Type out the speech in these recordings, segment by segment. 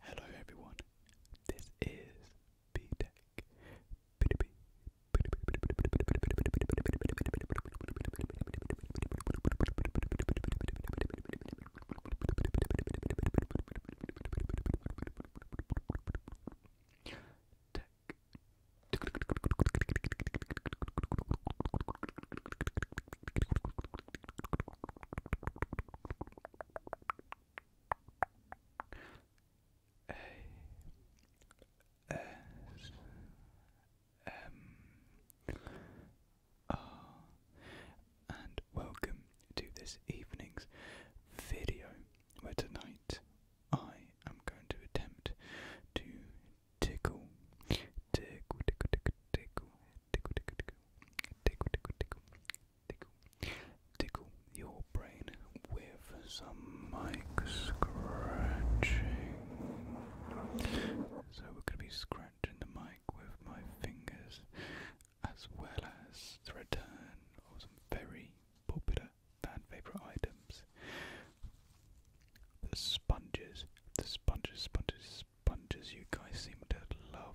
Hello everyone, this is B Tech. A S M R and welcome to this evening's video where tonight I am going to attempt to tickle tickle tickle tickle tickle tickle tickle tickle tickle tickle tickle, tickle your brain with some mic scratching. So we're going to be scratching the mic with my fingers, as well as the return of some very popular fan favorite items. The sponges, the sponges, sponges, sponges. You guys seem to love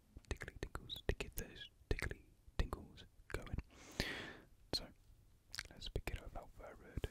tickly tickles to get those tickly tingles going. So let's begin without further ado.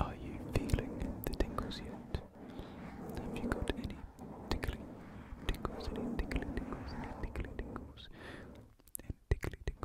Are you feeling the tingles yet? Have you got any tickly tingles? Any tickly tingles? Any tickly tingles? Any tickly tingles?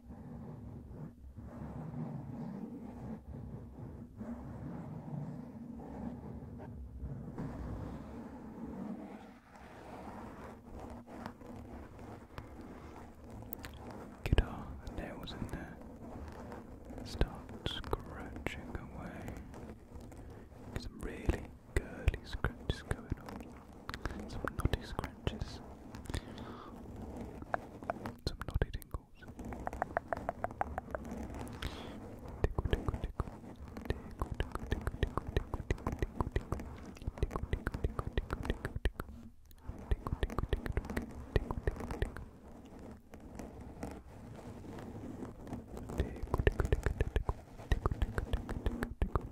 Guitar, the nails in there start scratching away. Some really curly scratches going on. Some naughty scratches. Some naughty tingles. Tickle, tickle, tickle. Tickle, tickle, tickle, tickle, tickle, tickle, tickle, tickle. Tickle, tickle, tickle, tickle, tickle, tickle. Tickle, tickle, tickle, tickle, tickle, tickle, tickle. Tickle, tickle, tickle, tickle, tickle, tickle, tickle, tickle, tickle.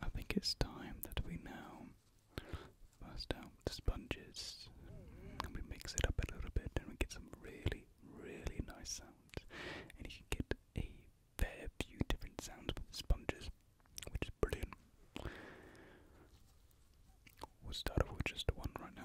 I think it's time that we now bust out the sponges and we mix it up a little bit and we get some really, really nice sounds. And you can get a fair few different sounds with sponges which is brilliant. We'll start off with just one right now.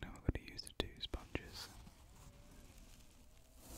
Now we're going to use the two sponges.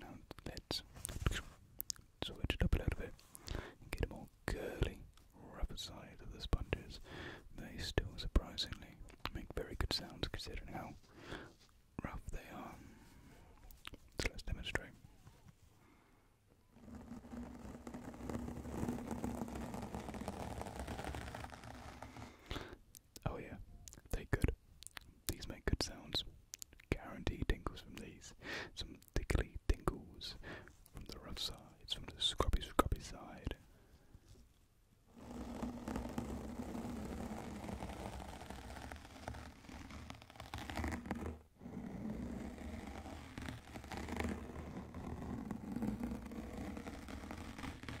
Now let's switch it up a little bit get a more curly, rougher side of the sponges. They still surprisingly make very good sounds considering how rough they are. So let's demonstrate. Oh yeah, they are good. These make good sounds. Guarantee tingles from these. Some tickly tingles from the rough sides, from the scruffy scruffy side.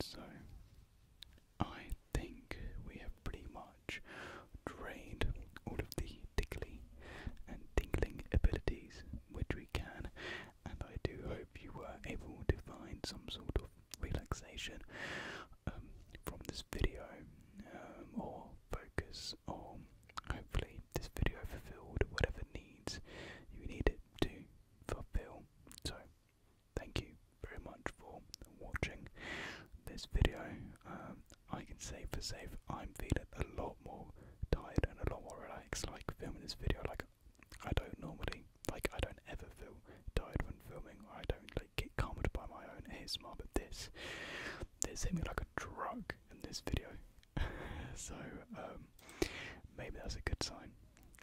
So, I think we have pretty much drained all of the tickly and tingling abilities which we can, and I do hope you were able to find some sort of relaxation um, from this video um, or focus on Hopefully, this video fulfilled whatever needs you needed to fulfill. So, thank you very much for watching this video. Um, I can say for safe, I'm feeling a lot more tired and a lot more relaxed. Like filming this video, like I don't normally, like I don't ever feel tired when filming, I don't like get calmed by my own ASMR. But this, this hit me like a drug in this video. so um, maybe that's a good sign.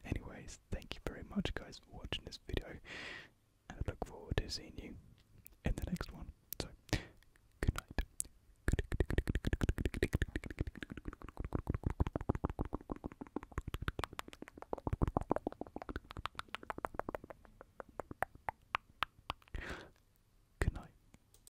Anyways, thank you very much, guys, for watching this video, and I look forward to seeing you in the next one. So, good night. Good night.